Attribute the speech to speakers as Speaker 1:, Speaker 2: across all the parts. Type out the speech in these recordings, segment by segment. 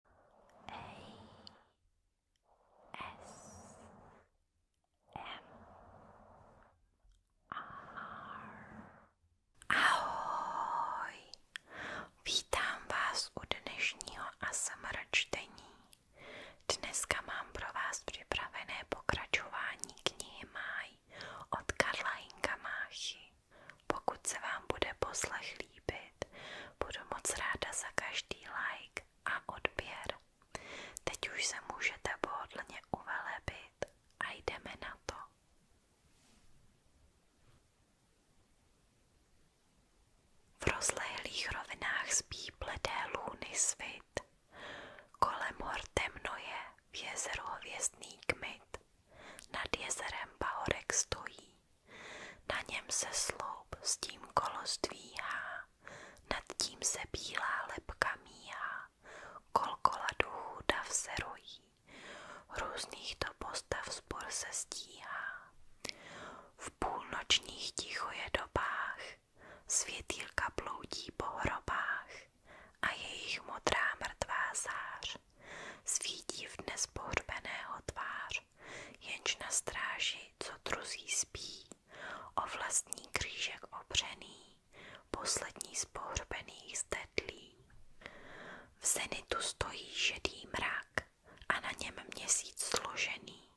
Speaker 1: Ahoj! Vítám vás u dnešního ASMR čtení. Dneska mám pro vás připravené pokračování knihy Máj od Karla Inka Máchy. Pokud se vám bude poslech líbit, Budu moc ráda za každý like a odběr. Teď už se můžete pohodlně uvelebit a jdeme na to. V rozlehlých rovinách spí bledé lůny svit. Kolem hor temno je v jezeru hvězdný kmit. Nad jezerem Bahorek stojí na něm se sloup s tím kolo zdvíhá, nad tím se bílá lepka míhá, kolkola duchů dav se rojí, různých to postav spor se stíhá. V půlnočních ticho je dobách, světýlka bloudí po hrobách a jejich modrá mrtvá zář svítí v dnes pohřbeného tvář muž, jenž na stráži, co druzí spí, o vlastní křížek opřený, poslední z pohřbených zdedlí. V zenitu stojí šedý mrak a na něm měsíc složený,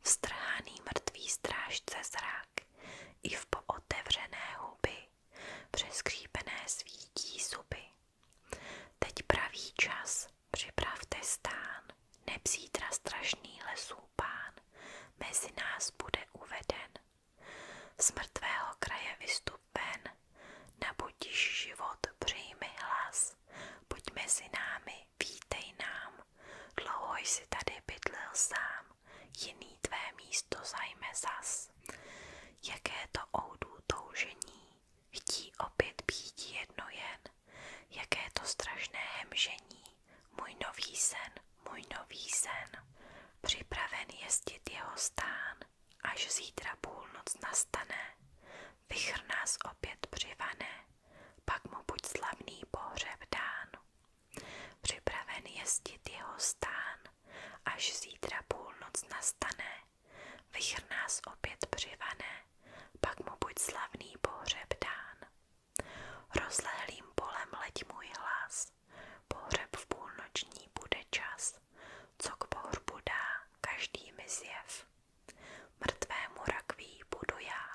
Speaker 1: vstrhaný mrtvý strážce zrak, i v pootevřené huby, přeskřípené svítí zuby. Teď pravý čas, připravte stán, neb strašný lesů pán, mezi nás bude uveden. Z mrtvého kraje vystup ven, nabudíš život, přijmi hlas, pojď mezi námi, vítej nám, dlouho jsi tady bydlil sám, jiný tvé místo zajme zas. Jaké to oudů toužení, Chtí opět být jedno jaké to strašné hemžení, můj nový sen, můj nový sen, připraven jezdit jeho až zítra půlnoc nastane, vychr nás opět přivane, pak mu buď slavný pohřeb dán. Připraven jezdit jeho až zítra půlnoc nastane, Vichr nás opět přivane, pak mu buď slavný pohřeb dán. Rozlehlým polem leď můj hlas, pohřeb v půlnoční bude čas, co k pohřbu dá každý mi zjev. Mrtvému rakví budu já,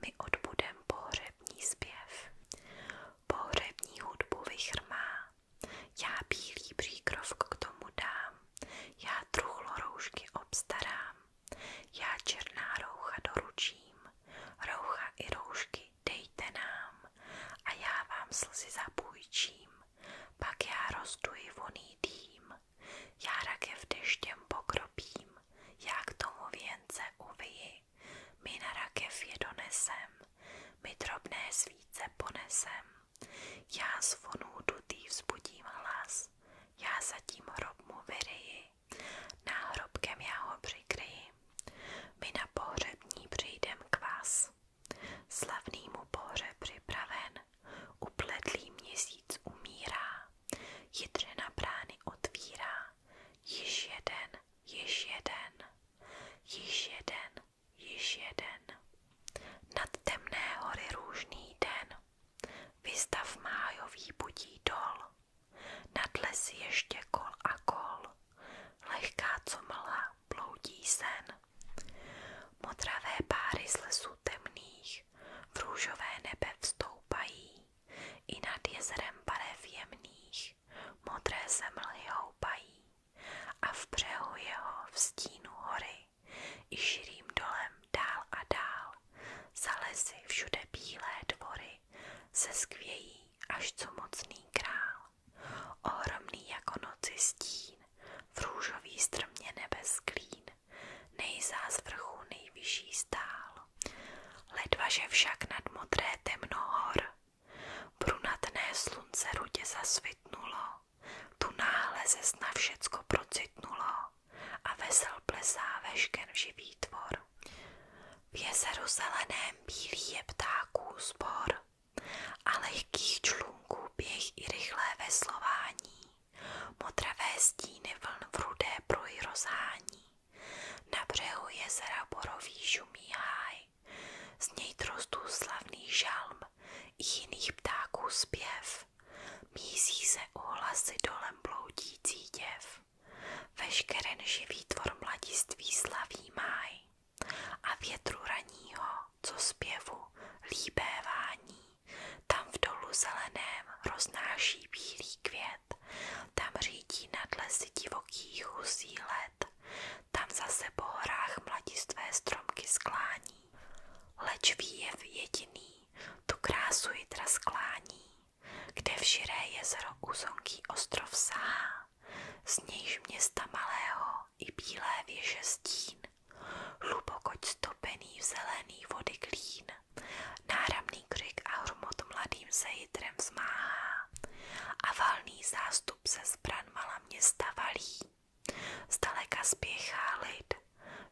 Speaker 1: my odbudem pohřební zpěv. Pohřební hudbu vychrmá, já bílý příkrov k tomu dám, já truchlo roušky obstarám, já černá roucha doručím, roucha i roušky dejte nám a já vám slzy zapůjčím, pak já rozduji voný dým, já rakev deštěm pokropím, já tomu věnce uviji, my na rakev je donesem, my svíce ponesem. Já zvonu vonů dutý vzbudím hlas, já zatím hrob mu vyryji, náhrobkem já ho přikryji. My na pohřební přijdem k vás. Slavný mu pohřeb připraven, upletlý měsíc umírá, jitřena brány otvírá, již jeden, již jeden, již jeden, již jeden. Nad temné hory růžný den, vystav májový budí dol, nad lesy ještě kol a kol, lehká co mlha bloudí sen. Modravé páry z lesů temných v růžové nebe vstoupají, i nad jezerem barev jemných modré se mlhy houpají a v břehu jeho v stínu hory i širým dolem dál a dál za všude bílé dvory se skvějí až co mocný král. Ohromný jako noci stín, v růžový strmě nebes klín, nejzá z vrchu nejvyšší stál. Ledvaže však nad modré temno Brunatné slunce rudě zasvitnulo, tu náhle ze sna všecko procitnulo a vesel plesá vešken živý tvor. V jezeru zeleném bílý je ptáků zbor a lehkých člunků běh i rychlé veslování, modravé stíny vln v rudé proj rozhání. Na břehu jezera borový žumí háj, z něj trostů slavný žalm i jiných ptáků zpěv. Mísí se ohlasy dolem bloudící děv. Veškeren živý tvor mladiství slaví máj. A větru raního, co zpěvu, líbévání. Tam v dolu zeleném roznáší bílý květ. Tam řídí nad lesy divokých husí let tam zase po horách mladistvé stromky sklání. Leč výjev jediný, tu krásu jitra sklání, kde v širé jezero úzonký ostrov sá, z nějž města malého i bílé věže stín, hluboko stopený v zelený vody klín, náramný křik a hromot mladým se jitrem zmáhá a valný zástup se zbran malého města valí. Zdaleka spěchá lid,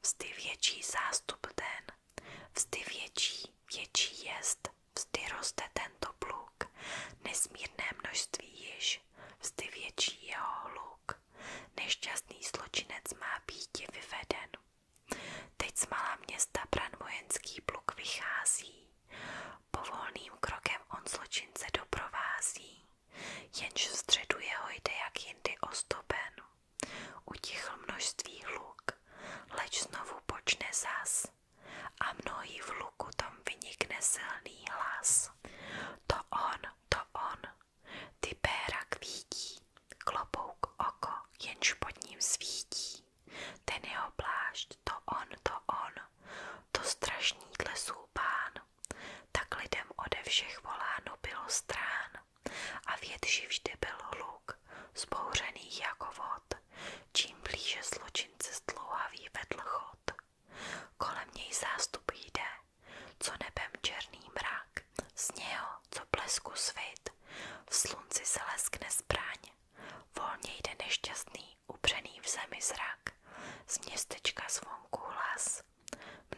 Speaker 1: vzdy větší zástup den, vzdy větší, větší jest, vzdy roste tento pluk, nesmírné množství již, vzdy větší jeho hluk, nešťastný zločinec má být vyveden. Teď z malá města pran vojenský pluk vychází, Povolným krokem on zločince doprovází, jenž v středu jeho jde jak jindy ostopen. Utichl množství hluk, leč znovu počne zas a mnohý v luku tam vynikne silný hlas. To on, to on, ty péra kvítí, klobouk oko, jenž pod ním svítí. Ten jeho plášť, to on, to on, to strašný tlesů pán, tak lidem ode všech voláno bylo strán a větší vždy bylo hluk, zbouřený jako vod, čím blíže zločince zdlouhavý vedl chod. Kolem něj zástup jde, co nebem černý mrak, z něho, co blesku svit, v slunci se leskne zbraň, Volně jde nešťastný, upřený v zrak, z městečka zvonku hlas,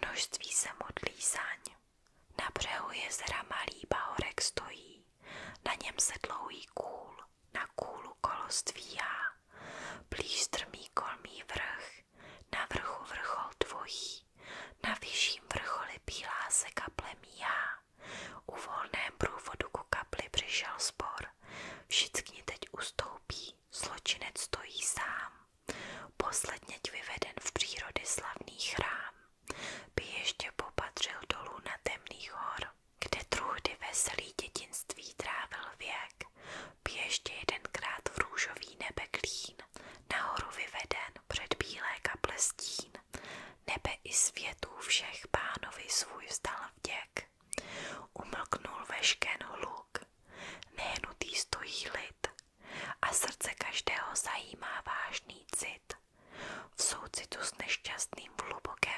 Speaker 1: množství se modlí zaň. Na břehu jezera malý bahorek stojí, na něm se dlouhý na kůlu kolo blíž strmý kolmý vrch, na vrchu vrchol dvojí, na vyšším vrcholi bílá se kaple míhá. U ku kapli přišel spor, Všichni teď ustoupí, zločinec stojí sám. Posledně vyveden v přírody slavný chrám, by ještě popatřil dolů na temný hor, kde truhdy veselý dětinství trávil věk, by ještě jedenkrát v růžový nebe klín, nahoru vyveden před bílé kaple stín, nebe i světů všech pánovi svůj vzdal vděk. Umlknul vešken hluk, nehnutý stojí lid a srdce každého zajímá vážný cit. V soucitu s nešťastným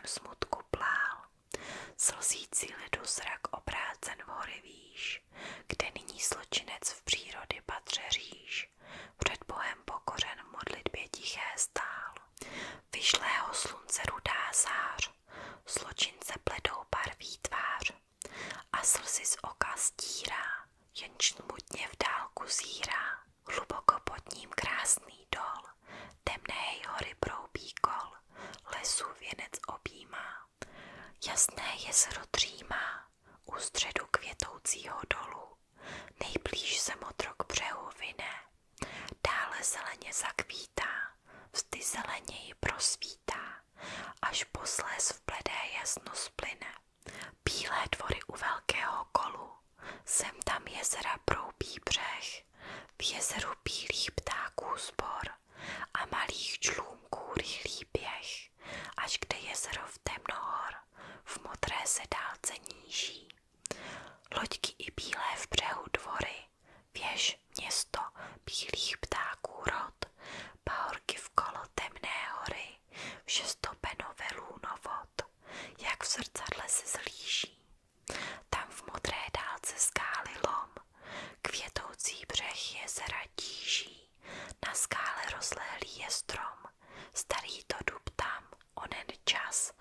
Speaker 1: v smutku plál, slzící lidu zrak obrácen v hory výš, kde nyní zločinec v přírody patře říš, před Bohem pokořen modlitbě tiché stál. Vyšlého slunce rudá zář, zločince bledou barví tvář a slzy z oka stírá, jenž nudně v dálku zírá. Hluboko pod ním krásný dol, temné hory broubí kol, lesu věnec objímá. Jasné jezero dřímá, u středu květoucího dolu, nejblíž se motrok břehu vine, Dále zeleně zakvítá, vzdy zeleněji prosvítá, až posléz v bledé jasno splyne. Bílé dvory u velkého kolu, sem tam jezera proubí břeh, v jezeru bílých ptáků zbor a malých člůnků rychlý běh, až kde jezero v temnohor, v modré se dálce níží, Loďky i bílé v břehu dvory, věž, město, bílých ptáků rod, pahorky v kolo temné hory, vše stopenové lůnovod, jak v zrcadle se zlíží. Tam v modré dálce skály lom, květoucí břeh je tíží, na skále rozlehlý je strom, starý to dub tam, onen čas,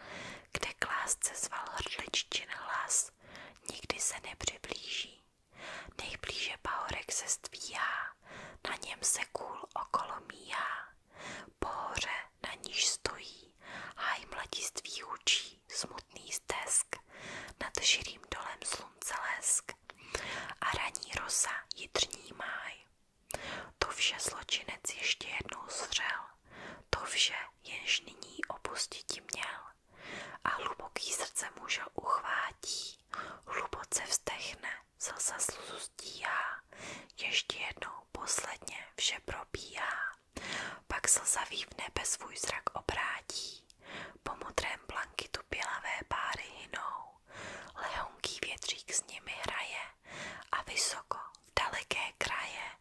Speaker 1: kde k lásce zval hrdliččin hlas, nikdy se nepřiblíží. Nejblíže pahorek se stvíhá, na něm se kůl okolo míhá. Pohoře na níž stojí, háj mladiství učí, smutný stesk, nad širým dolem slunce lesk a raní rosa jitřní máj. To vše zločinec ještě jednou zřel, to vše jenž nyní opustí opustiti měl a hluboký srdce muža uchvátí, hluboce vzdechne, slza sluzu stíhá, ještě jednou posledně vše probíhá, pak slzavý v nebe svůj zrak obrátí, po modrém blankitu pělavé páry hynou, lehonký větřík s nimi hraje a vysoko v daleké kraje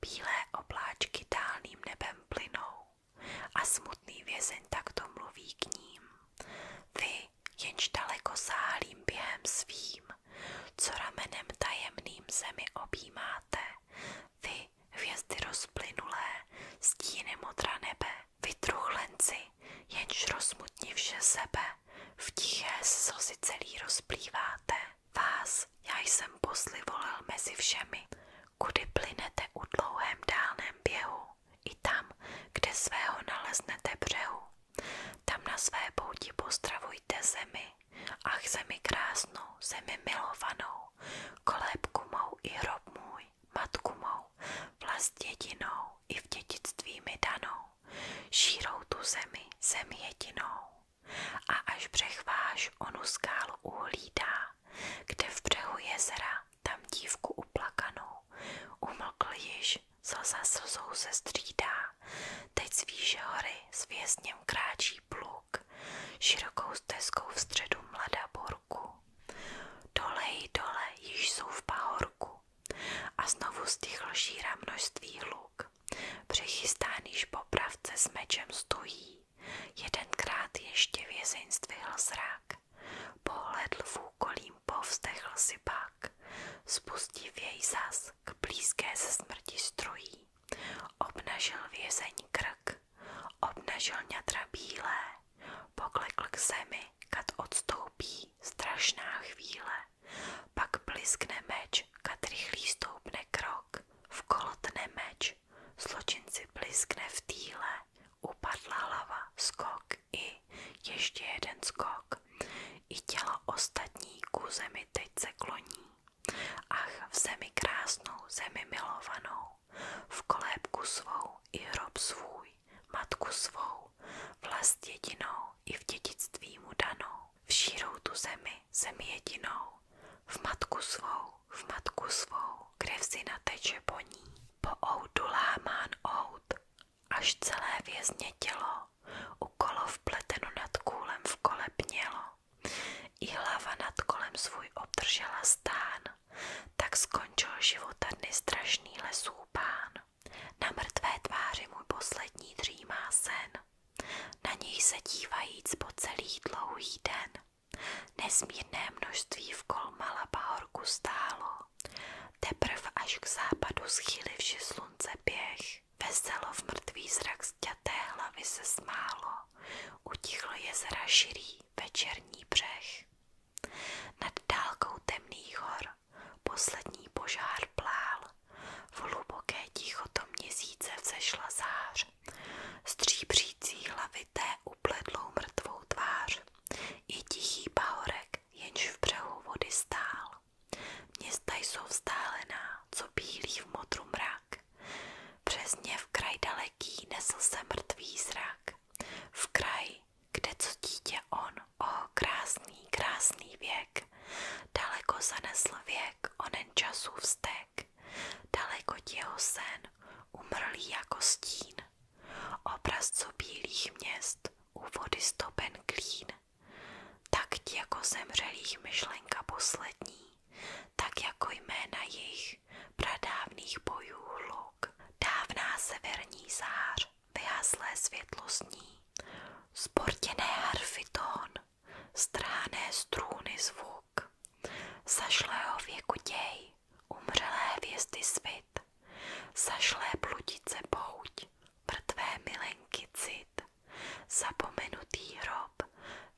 Speaker 1: bílé obláčky dálným nebem plynou a smutný vězeň takto mluví k ním. Vy, jenž daleko sálím během svým, co ramenem tajemným zemi objímáte, vy, hvězdy rozplynulé, stíny modra nebe, vy truchlenci, jenž rozmutni vše sebe, v tiché slzy celý rozplýváte vás já jsem poslivolil mezi všemi, kudy plynete u dlouhém dálném běhu, i tam, kde svého naleznete břehu. Tam na své pouti postravujte zemi, ach zemi krásnou, zemi milovanou, kolébku mou i hrob můj, matku mou, vlast jedinou i v dědictví mi danou, šírou tu zemi, zemi jedinou a až přechváš onu skálu uhlídá, kde v břehu jezera tam dívku uplakanou, umlkl již, slza slzou se střídá, teď z výše hory s vězněm kráčí pluk, širokou stezkou v středu mladá borku. Dolej dole již jsou v pahorku a znovu stichl šíra množství hlu luk. Přichystaný popravce s mečem stojí, jedenkrát ještě vězeň zdvihl zrák. Pohledl v úkolím povzdechl si pak, spustiv jej zas k blízké se smrti strojí. Obnažil vězeň krk, obnažil ňatra bílé, poklekl k zemi, kad odstoupí strašná chvíle. Pak bliskne meč, katrychlí stoupne krok, v vkolotne meč, zločinci bliskne v týle, upadla lava skok i ještě jeden skok. I tělo ostatní ku zemi teď se kloní. Ach, v zemi krásnou, zemi milovanou, v kolébku svou i hrob svůj, matku svou, vlast jedinou i v dědictví mu danou všírou tu zemi, zemi jedinou, v matku svou, v matku svou, krev si nateče po ní, po oudu lámán až celé vězně tělo, ukolo vpleteno nad kůlem v kole pnělo, i nad kolem svůj obdržela stán, tak skončil života dny strašný lesů pán. Na mrtvé tváři můj poslední dřímá sen. Na něj se dívajíc po celý dlouhý den. Nesmírné množství v vkol Malabahorku stálo. Teprv až k západu vše slunce běh. Veselo v mrtvý zrak zťaté hlavy se smálo. Utichlo je širý večerní břeh. Nad dálkou temný hor Poslední požár plál, v hluboké tichoto měsíce vzešla zář, stříbřící hlavité upledlou mrtvou tvář, i tichý pahorek, jenž v břehu vody stál. Města jsou vzdálená, co bílí v modru mrak, přesně v kraj daleký nesl se mrtvý zrak, v kraj, kde co dítě on o krásný, krásný věk. Daleko zanesl věk, onen časů vztek. Daleko jeho sen, umrlý jako stín. Obrazcu bílých měst, u vody stopen klín. Tak ti jako zemřelých myšlenka poslední, tak jako jména jich pradávných bojů hluk, dávná severní zář, vyhaslé světlo sní, sportěné harfy tón, strhané strůny zvuk, zašlého věku děj, umřelé hvězdy svit, zašlé bludice pouť, mrtvé milenky cit, zapomenutý hrob,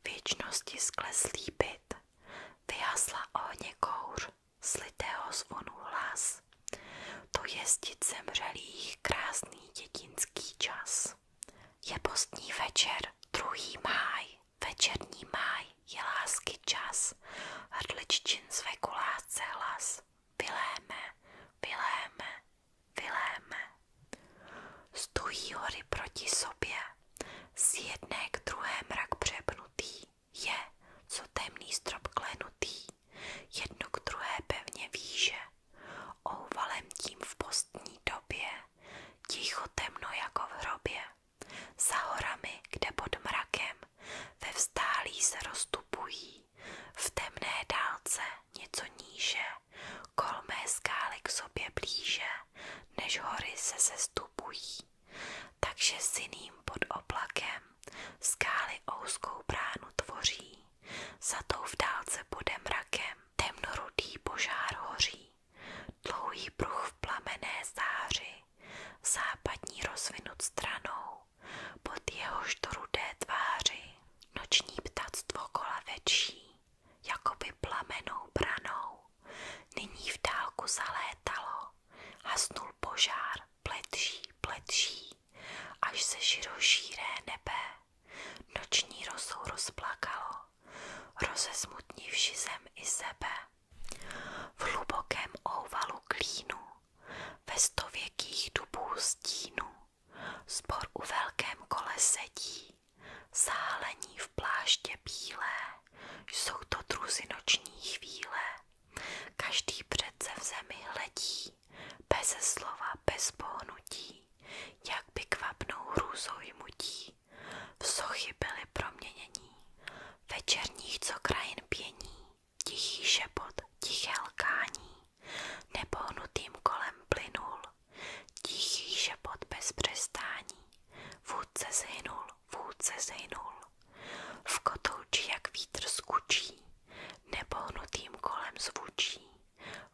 Speaker 1: věčnosti skleslý byt, vyhasla ohně kouř, slitého zvonu hlas. To jezdit zemřelých krásný dětinský čas. Je postní večer, druhý máj, večerní máj, je lásky čas, hrdliččin své kulásce hlas, vyléme, vyléme, vyléme. Stují hory proti sobě, z jedné k druhé mrak přepnutý, je, co temný strop klenutý, jedno k druhé pevně výže, ouvalem tím v postní době, ticho temno jako v hrobě, za horami, kde pod mrakem, ve vzdálí se rozstupují, v temné dálce něco níže, kolmé skály k sobě blíže, než hory se sestupují. Takže syným pod oblakem skály ouskou bránu tvoří za Zatou v dálce bude mrakem, temnorudý požár hoří, dlouhý pruh v plamené záři, západní rozvinut stranou, pod jehož to rudé tváři, noční ptactvo jako by plamenou branou, nyní v dálku zalétalo, hasnul požár, pletší, pletší až se širošíré nebe noční rosou rozplakalo, rozesmutnivši zem i sebe. V hlubokém ouvalu klínu, ve stověkých dubů stínu, spor u velkém kole sedí, sálení v pláště bílé, jsou to truzy noční chvíle, každý přece v zemi hledí, bez slova, bez pohnutí, jak by kvapnou hrůzou jmutí, v sochy byly proměnění, večerních co krajin pění, tichý šepot, tiché lkání, nepohnutým kolem plynul, tichý šepot bez přestání, vůdce zhynul, vůdce zhynul, v kotouči jak vítr skučí, Nepohnutým kolem zvučí,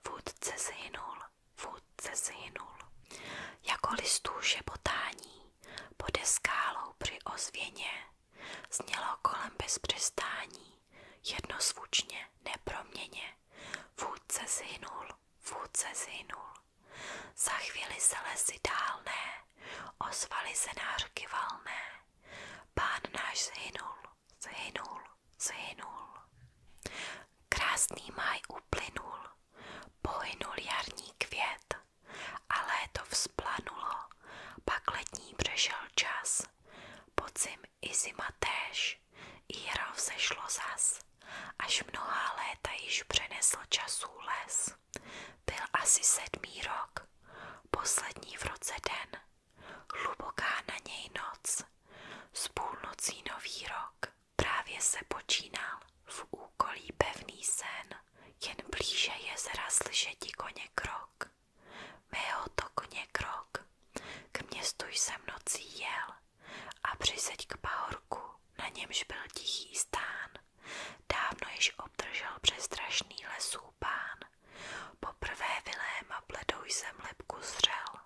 Speaker 1: vůdce zhynul, vůdce zhynul. Jako listů šepotání, pode skálou při ozvěně, znělo kolem bez přestání, jednosvučně, neproměně, vůdce zhynul, vůdce zhynul. Za chvíli se lesy dálné, ozvaly se nářky valné, Pán náš zhynul, zhynul, zhynul. Krásný maj uplynul, pohynul jarní květ a léto vzplanulo, pak letní přešel čas, podzim i zima též, jaro vzešlo zas, až mnohá léta již přenesl časů les. Byl asi sedmý rok, poslední v roce den, Hluboká na něj noc, s půlnocí nový rok, právě se počínal v úkolí pevný sen, jen blíže jezera slyšeti koně krok. Mého to koně krok, k městu jsem nocí jel a přiseď k pahorku, na němž byl tichý stán. Dávno již obdržel přestrašný lesů pán Poprvé Viléma bledou jsem lepku zřel.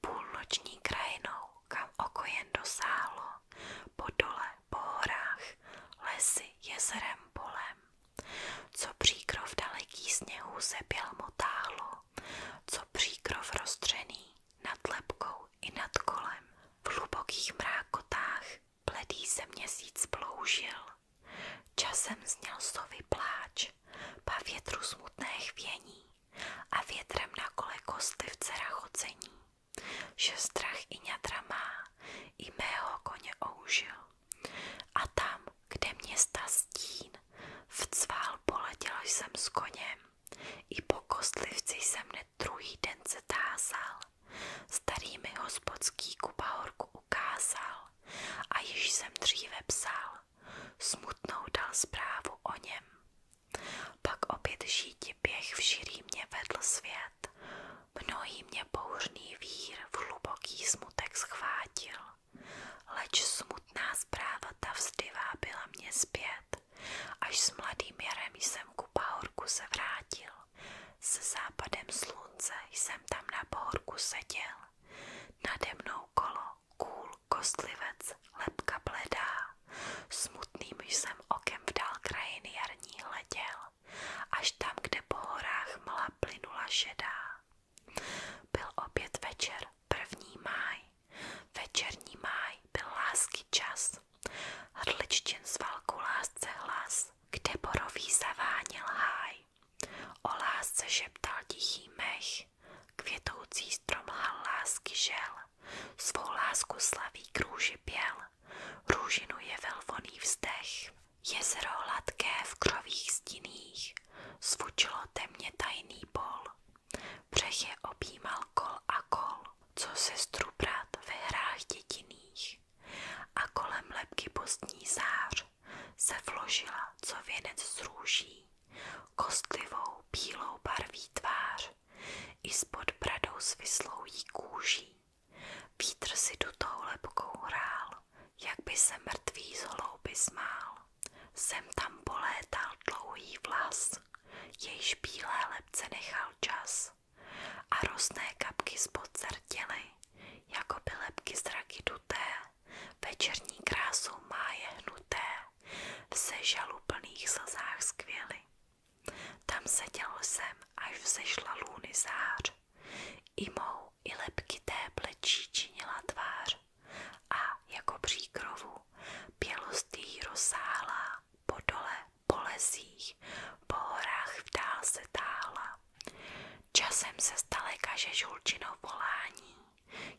Speaker 1: Půlnoční krajinou, kam oko jen dosáhlo, po dole, po horách, lesy, jezerem, polem. Co příkrov daleký sněhu se bělmo táhlo, co příkrov roztřený nad lepkou i nad kolem, v hlubokých mrákotách Bledý se měsíc ploužil, časem zněl sovy pláč, pa větru smutné chvění a větrem na kole kostlivce rachocení, že strach i ňadra má, i mého koně oužil. A tam, kde města stín, vcvál poletěl jsem s koněm, i po kostlivci jsem hned druhý den se tázal, Starý mi hospodský kupahorku ukázal a již jsem dříve psal, smutnou dal zprávu o něm. Pak opět žíti běh v širý mě vedl svět, mnohý mě bouřný vír v hluboký smutek schvátil, leč smutná zpráva ta vzdyvá byla mě zpět, až s mladým jarem jsem ku pahorku se vrátil. S západem slunce jsem tam na pohorku seděl. Nade mnou kolo, kůl, kostlivec, lepka bledá. Smutným jsem okem v dál krajiny jarní hleděl, až tam, kde po horách mla plynula šedá. Byl opět večer, první máj. Večerní máj byl lásky čas. Hrdličtin z válku lásce hlas kde borový zaváněl háj. O lásce šeptal tichý mech, květoucí strom lhal lásky žel, svou lásku slaví krůži pěl, růžinu je velvoný vzdech. Jezero hladké v krových stiných, zvučilo temně tajný bol, břeh je objímal kol a kol, co sestru brat ve hrách dětiných a kolem lepky postní zář se vložila co věnec z růží, kostlivou bílou barví tvář i spod bradou svislou jí kůží. Vítr si dutou lepkou hrál, jak by se mrtvý z hlouby smál. Sem tam polétal dlouhý vlas, jejž bílé lepce nechal čas a rosné kapky spod zrtěly, jako by lepky zraky duté, večerní krásou máje hnuté, v sežalu plných slzách skvěly. Tam seděl jsem, až vzešla lůny zář, i mou, i lepky té plečí činila tvář a jako příkrovu pělost jí rozsáhlá po dole po lesích, po horách vdál se táhla. Časem se zdaleka že žulčinou volání,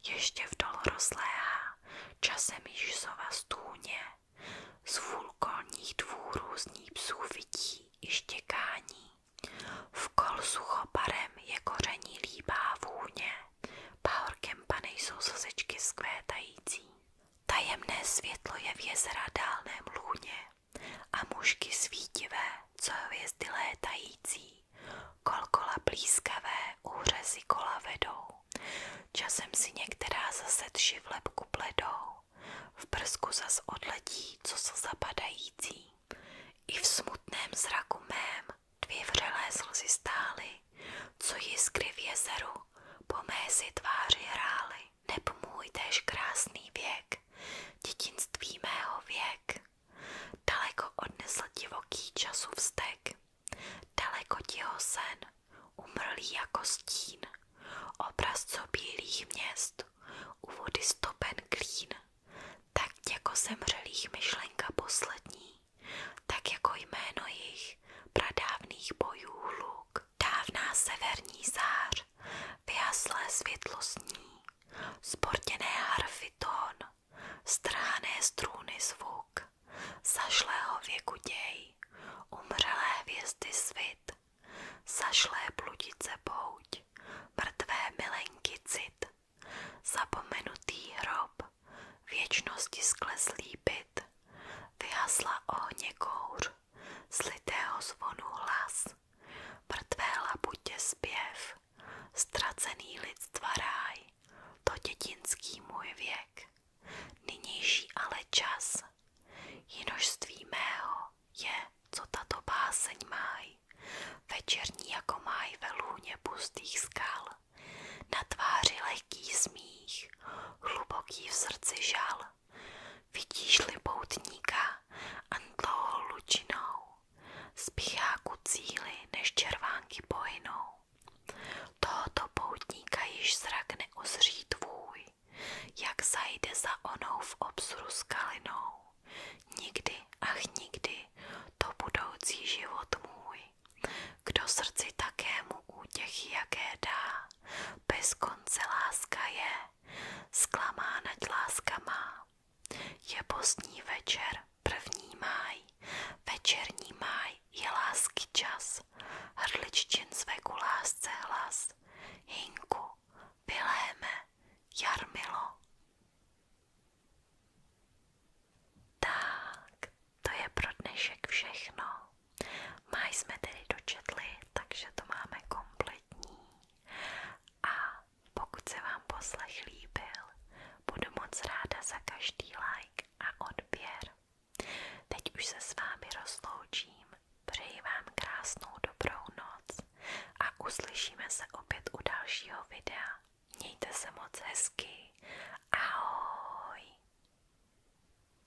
Speaker 1: ještě vdol rozléhá, časem již sova stůně, z vulkolních dvů různých psů vidí i štěkání. V kol suchoparem je koření líbá vůně, pahorkem pane jsou sosečky skvétající. Tajemné světlo je v jezera dálném lůně, a mužky svítivé, co hvězdy létající, kolkola blízkavé, úřezy kola vedou. Časem si některá zase tši v lepku pledou, v prsku zas odletí, co se zapadající. I v smutném zraku mém dvě vřelé slzy stály, co jiskry v jezeru po mé si tváři hrály neb krásný věk, dětinství mého věk. Daleko odnesl divoký času vztek, daleko tiho sen, umrlý jako stín, obraz bílých měst, u vody stopen klín, tak jako zemřelých myšlenka poslední, tak jako jméno jejich, pradávných bojů hluk, Dávná severní zář, vyhaslé světlo sní, sportěné harfy tón, strhané strůny zvuk, zašlého věku děj, umřelé hvězdy svit, zašlé bludice pouť, mrtvé milenky cit, zapomenutý hrob, věčnosti skleslý byt, vyhasla ohně kouř, slitého zvonu hlas, mrtvé labutě zpěv, ztracený lidstva ráj, to dětinský můj věk, nynější ale čas, jinožství mého je, co tato báseň máj, večerní jako máj ve lůně pustých skal, na tváři lehký smích, hluboký v srdci žal, Vidíš-li poutníka, andlouhou lučinou, spíchá ku cíli, než červánky pohynou. Tohoto poutníka již zrak neozří tvůj, jak zajde za onou v obzru skalinou. Nikdy, ach nikdy, to budoucí život můj. Kdo srdci takému útěchy jaké dá, bez konce láska je, zklamána láska má. Je pozdní večer, první máj, večerní máj je lásky čas, hrdliččin zveku lásce hlas, Hinku, Viléme, Jarmilo. Tak, to je pro dnešek všechno. Máj jsme tedy dočetli, takže to máme kompletní. A pokud se vám poslech líbil, budu moc ráda za každý like a odběr. Teď už se s vámi rozloučím, přeji vám krásnou dobrou noc a uslyšíme se opět u dalšího videa. Mějte se moc hezky, ahoj!